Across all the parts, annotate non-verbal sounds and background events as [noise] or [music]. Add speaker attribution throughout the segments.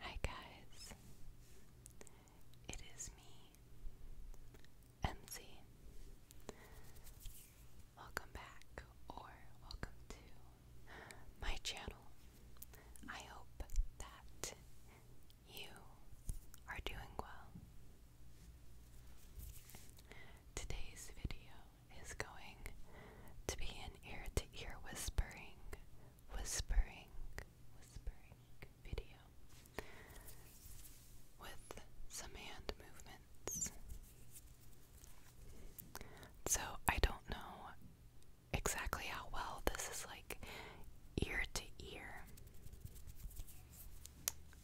Speaker 1: Hi guys, it is me, MC. Welcome back or welcome to my channel. I hope that you are doing well. Today's video is going to be an ear to ear whispering, whispering, whispering video with some hand movements. So I don't know exactly how well this is like ear to ear.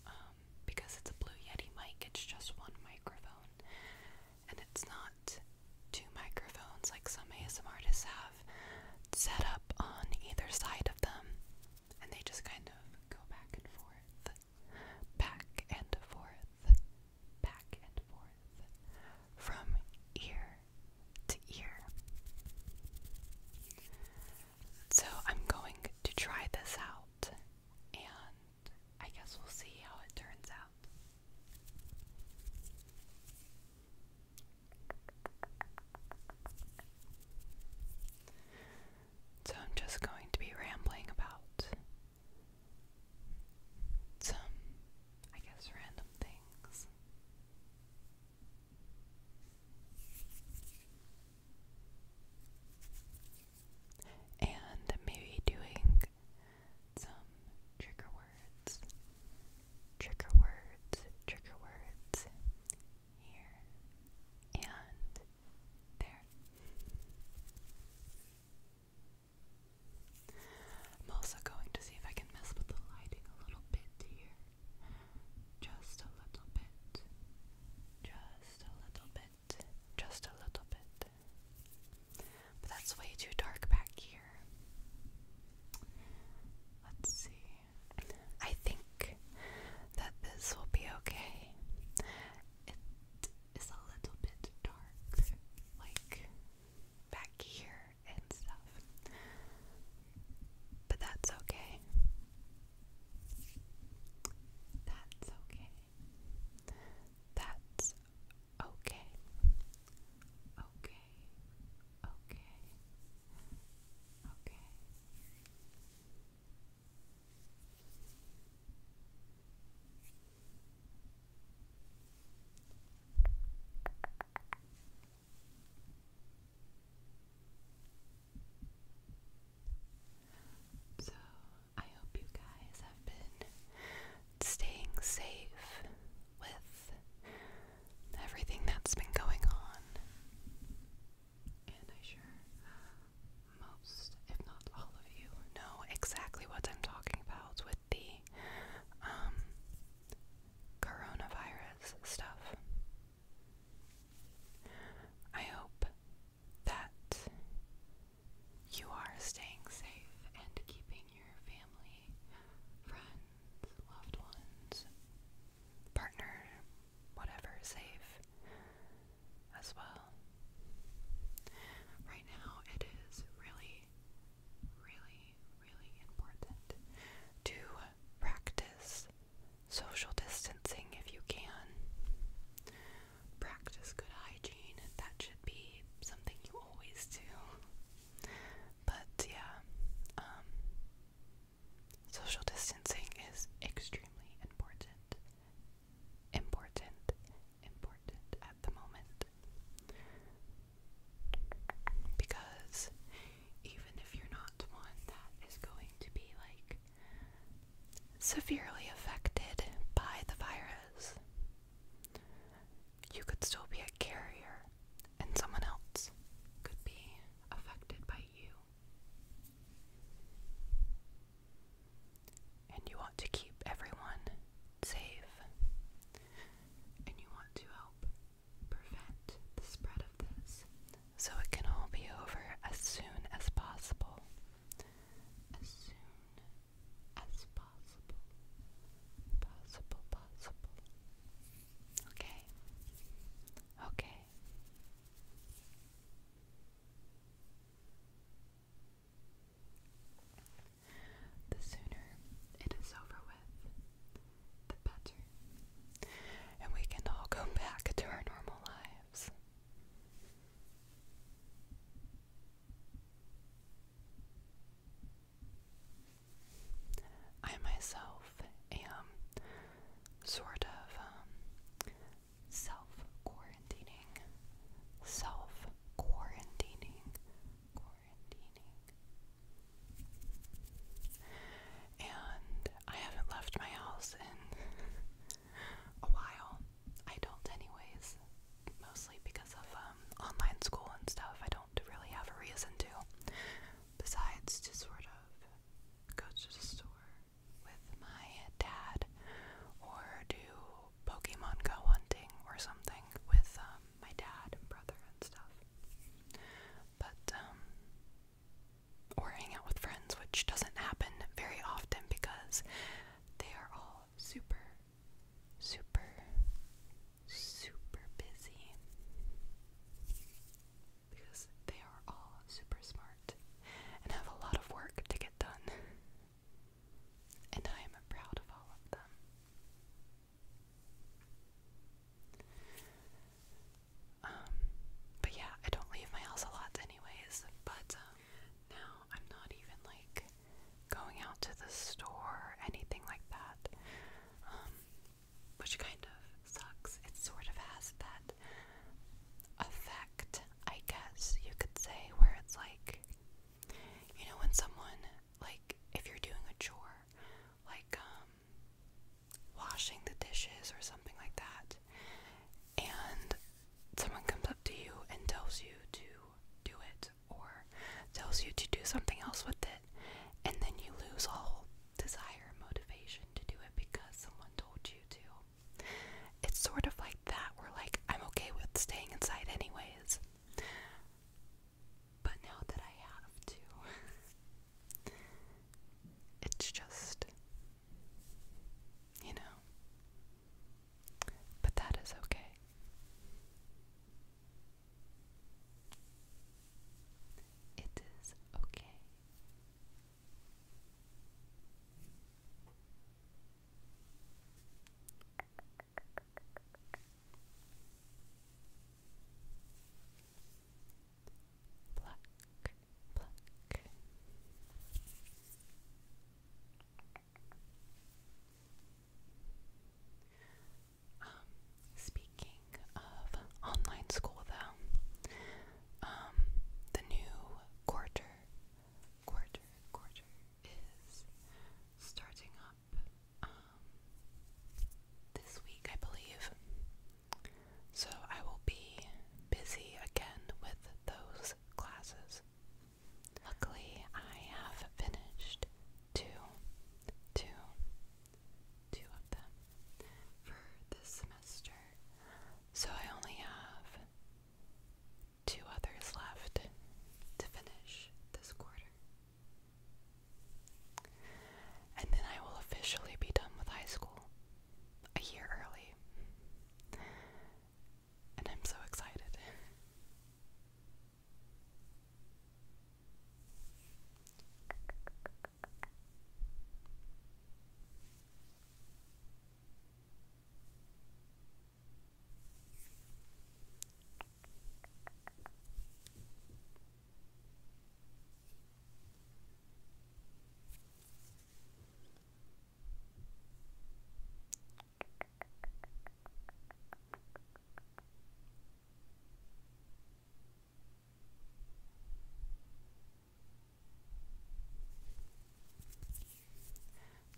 Speaker 1: Um, because it's a Blue Yeti mic, it's just one microphone and it's not two microphones like some ASM artists have set up on either side of them, and they just kind of go back and forth, back and forth, back and forth, from ear to ear. So I'm going to try this out and I guess we'll see how it turns out. So I'm just going to be rambling about some, I guess, random things. And maybe doing some trigger words. Trigger words, trigger words here and there. I'm also going to see if I can mess with the lighting a little bit here. Just a little bit. Just a little bit. Just a little bit. But that's way too dark back here. Let's see. I think that this will be okay. It is a little bit dark, like back here and stuff. But that's okay. That's okay. That's Okay. Okay. Okay. Okay. So I hope you guys have been staying safe with everything that's been going on. And I sure most, if not all of you, know exactly what I'm talking about with the um, coronavirus stuff. I hope that you are staying safe and keeping your family, friends, loved ones, partner, whatever, safe as well. Right now, it is really, really, really important to practice social distancing if you can practice good hygiene. That should be something you always do. But yeah, um, social distancing is extremely important. Important, important at the moment. Because even if you're not one that is going to be like severely affected by the virus, you could still be a carrier, and someone else could be affected by you. And you want to keep everyone safe, and you want to help prevent the spread of this so it can all be over as soon as possible. As soon as possible. Possible, possible. Okay. Okay. The sooner it is over with, the better. And we can all go back to our normal lives. I myself am sort of um, self quarantining, self quarantining, quarantining. And I haven't left my house in a while. I don't, anyways. Mostly because of um, online school and stuff. I don't really have a reason to, besides to sort of go to the store with my dad or do Pokemon Go hunting or something with um, my dad and brother and stuff. But, um, or hang out with friends, which doesn't happen very often because they are all super, super, super busy because they are all super smart and have a lot of work to get done. And I am proud of all of them. Um, but yeah, I don't leave my house a lot anyways, but um, now, I'm not even like going out to the store or anything like that, um, which kind of sucks. It sort of has that effect, I guess you could say, where it's like, you know, when someone, like, if you're doing a chore, like, um, washing the dishes or something like that, and someone comes up to you and tells you to do it or tells you to do something else with it, and then you lose all desire and motivation to do it because someone told you to. It's sort of like that, where like I'm okay with staying inside anyways. But now that I have to, [laughs] it's just, you know, but that is okay. It is okay. Pluck, um, speaking of online school, though, um, the new quarter, quarter, quarter is starting up um, this week, I believe. So I will be busy again with those classes. Luckily, I have finished two, two, two of them for this semester. So I only have two others left to finish this quarter. And then I will officially be done with high school a year early and I'm so excited.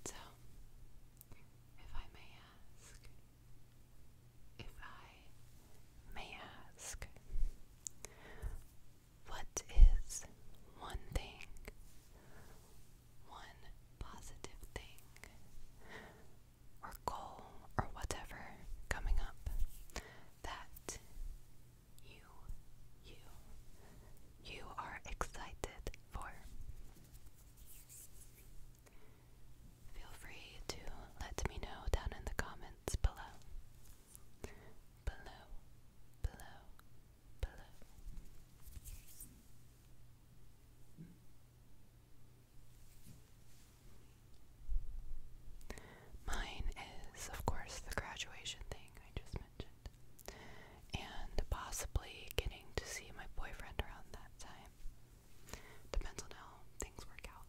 Speaker 1: So, if I may ask, if I may ask, what is one thing, one positive thing, or goal, or whatever coming up that you, you, you are excited for? Feel free to let me know down in the comments below. Below, below, Mine is, of course, the graduation thing I just mentioned, and possibly getting to see my boyfriend around that time. Depends on how things work out.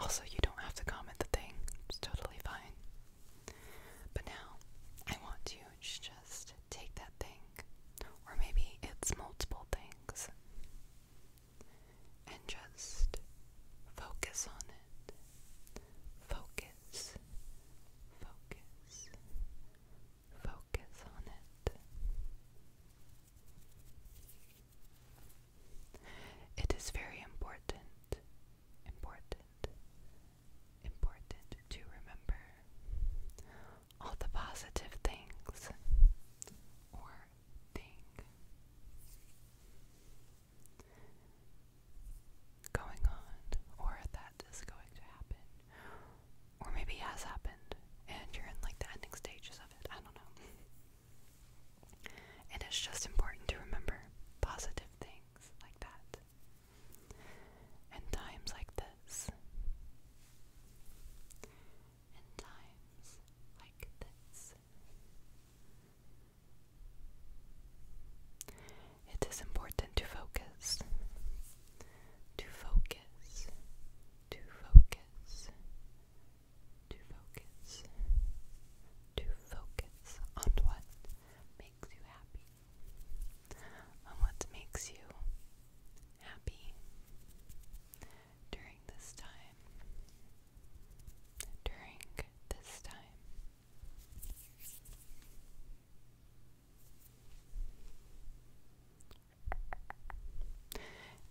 Speaker 1: Also, you don't have to comment the thing, it's totally fine. But now, I want you to just take that thing, or maybe it's multiple things, and just focus on it. Focus, focus, focus on it. It is very important, important, important to remember all the positive things or thing going on or that that is going to happen. Or maybe has happened and you're in like the ending stages of it. I don't know. And it's just important to remember positive things like that. And times like this. In times like this. It is important to focus, to focus, to focus, to focus, to focus on what makes you happy, on what makes you happy during this time, during this time.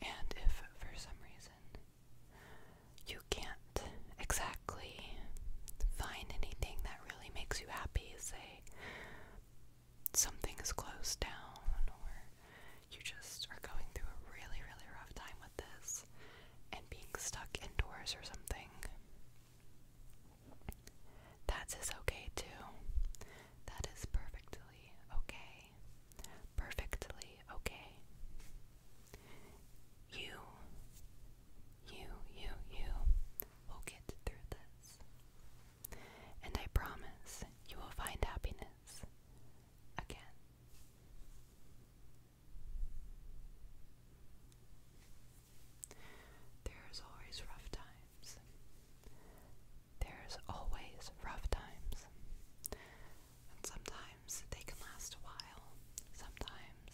Speaker 1: And if for some reason you can't exactly find anything that really makes you happy, say something is closed down, or you just are going through a really, really rough time with this and being stuck indoors or something, that's is okay too. That is perfectly okay. Perfectly okay. You, you, you, you will get through this. And I promise you will find happiness again. There's always rough times. There's always rough times. And sometimes they can last a while. Sometimes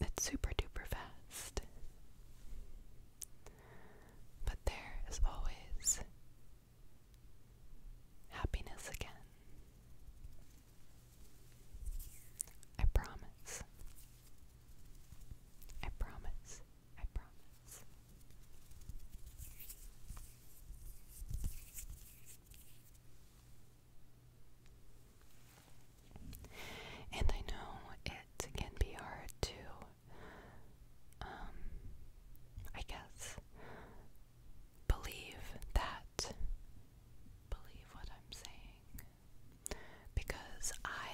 Speaker 1: it's super duper fast. But there is always happiness again. I promise. I promise. I promise. And I know it can be hard to, um, I guess, believe that, believe what I'm saying, because I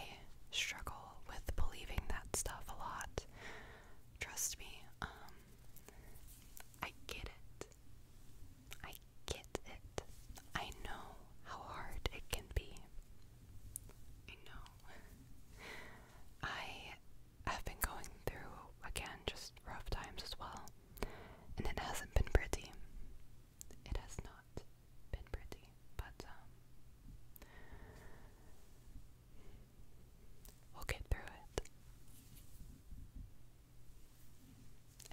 Speaker 1: struggle with believing that stuff a lot. Trust me, um, I get it. I get it. I know how hard it can be. I know. I have been going through, again, just rough times as well, and it hasn't been pretty. It has not been pretty, but um, we'll get through it.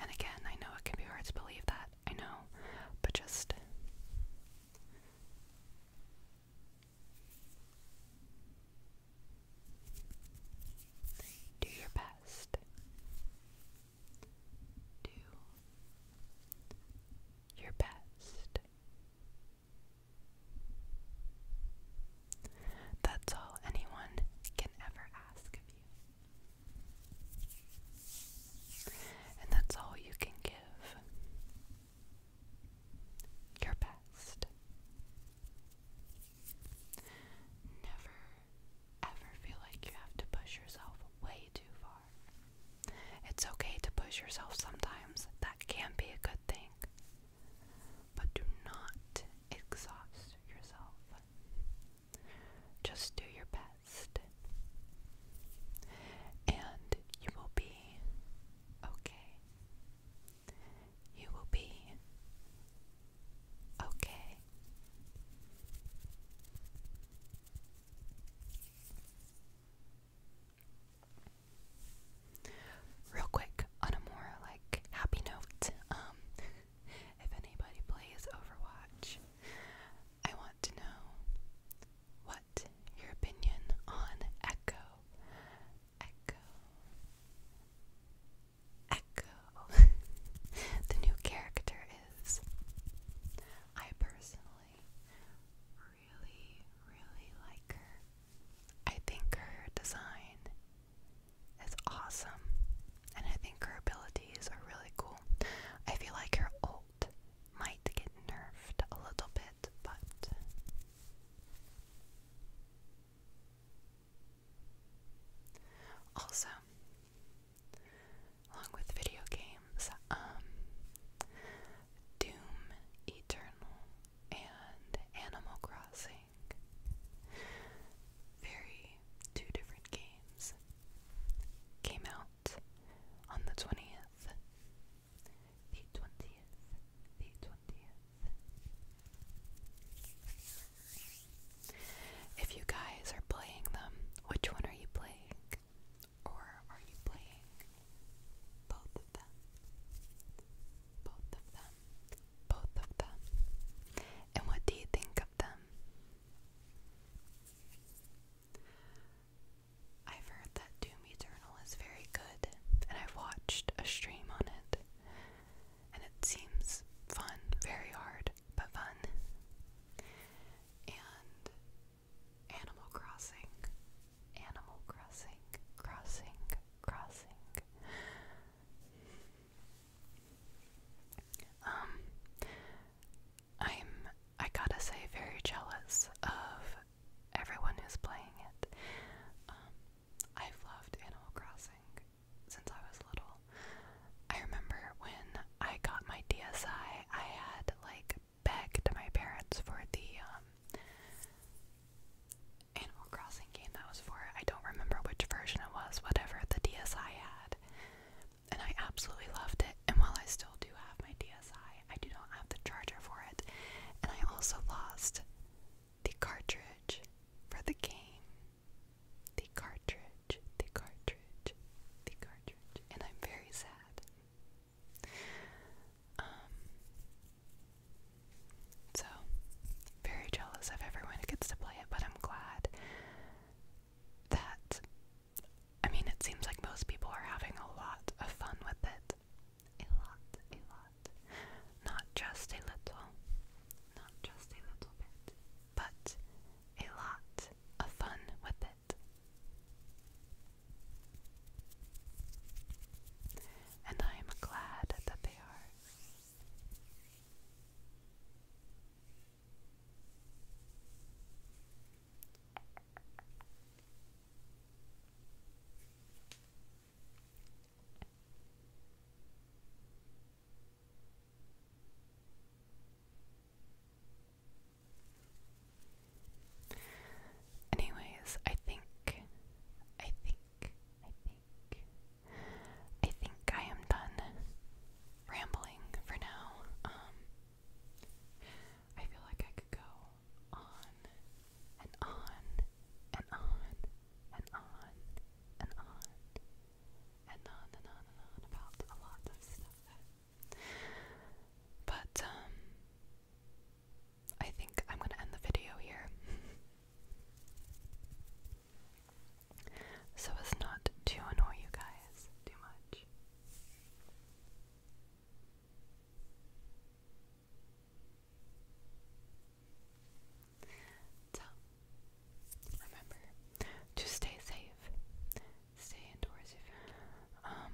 Speaker 1: And again, I know it can be hard to believe that, I know, but just. Do your best. Do your best. That's all anyone can ever ask of you. And that's all you can give. Your best. Never ever feel like you have to push yourself way too far. It's okay to push yourself sometimes, that can be a good thing. But do not exhaust yourself. Just do your best. And you will be okay. You will be Okay. Real quick, on a more like happy note, um, if anybody plays Overwatch, I want to know what your opinion on Echo, Echo, Echo. [laughs] the new character is. I personally really, really like her. I think her design is awesome, and I think her abilities are really cool. I feel like her ult might get nerfed a little bit, but also, along with video games, um, Doom Eternal and Animal Crossing. Very two different games came out on the 20th. The 20th. The 20th. If you guys are playing them, which one are you playing? Or are you playing both of them? Both of them. Both of them. And what do you think of them? I've heard that Doom Eternal is very good, and I've watched a stream on it and it seems fun, very hard, but fun. And Animal Crossing, Animal Crossing, Crossing, Crossing. Um, I'm, I gotta say, very jealous of everyone who's playing it. Um, I've loved Animal Crossing since I was little. I remember when I got my DSI, I had like begged my parents for the um, Animal Crossing game that was for. I don't remember which version it was, whatever the DSI had. And I absolutely loved it. And while I still do have my DSI, I do not have the charger for it. And I also lost the cartridge for the game. The cartridge, the cartridge, the cartridge. And I'm very sad. Um, so, very jealous of everyone who gets to play it, but I'm glad that, I mean, it seems like most people are having a lot of fun with it. A lot, a lot. Not just a little, not just a little bit, but a lot of fun with it. And I am glad that they are. Anyways, I think, I think, I think, I think I am done rambling for now. Um, I feel like I could go on and on and on and on and on and on and on and on about a lot of stuff. But um, I think I'm gonna end the video here. [laughs] so as not to annoy you guys too much. So, remember to stay safe. Stay indoors if um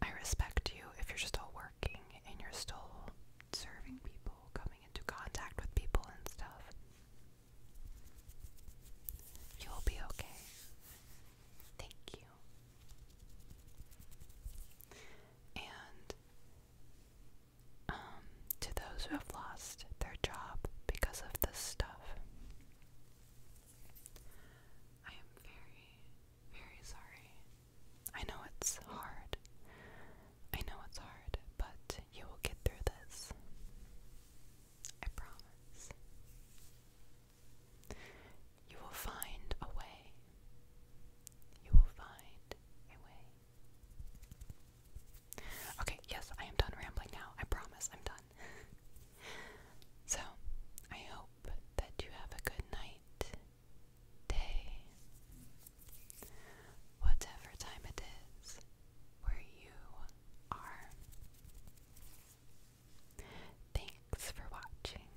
Speaker 1: I respect you if you're still working and you're still serving people, coming into contact with people and stuff. You'll be okay. Thank you. And um, to those who have lost their job because of this stuff. I am very, very sorry. I know it's hard. I know it's hard, but you will get through this. I promise. You will find a way. You will find a way. Okay, yes, I am done rambling now. I promise I'm done. so, I hope that you have a good night, day, whatever time it is where you are. Thanks for watching.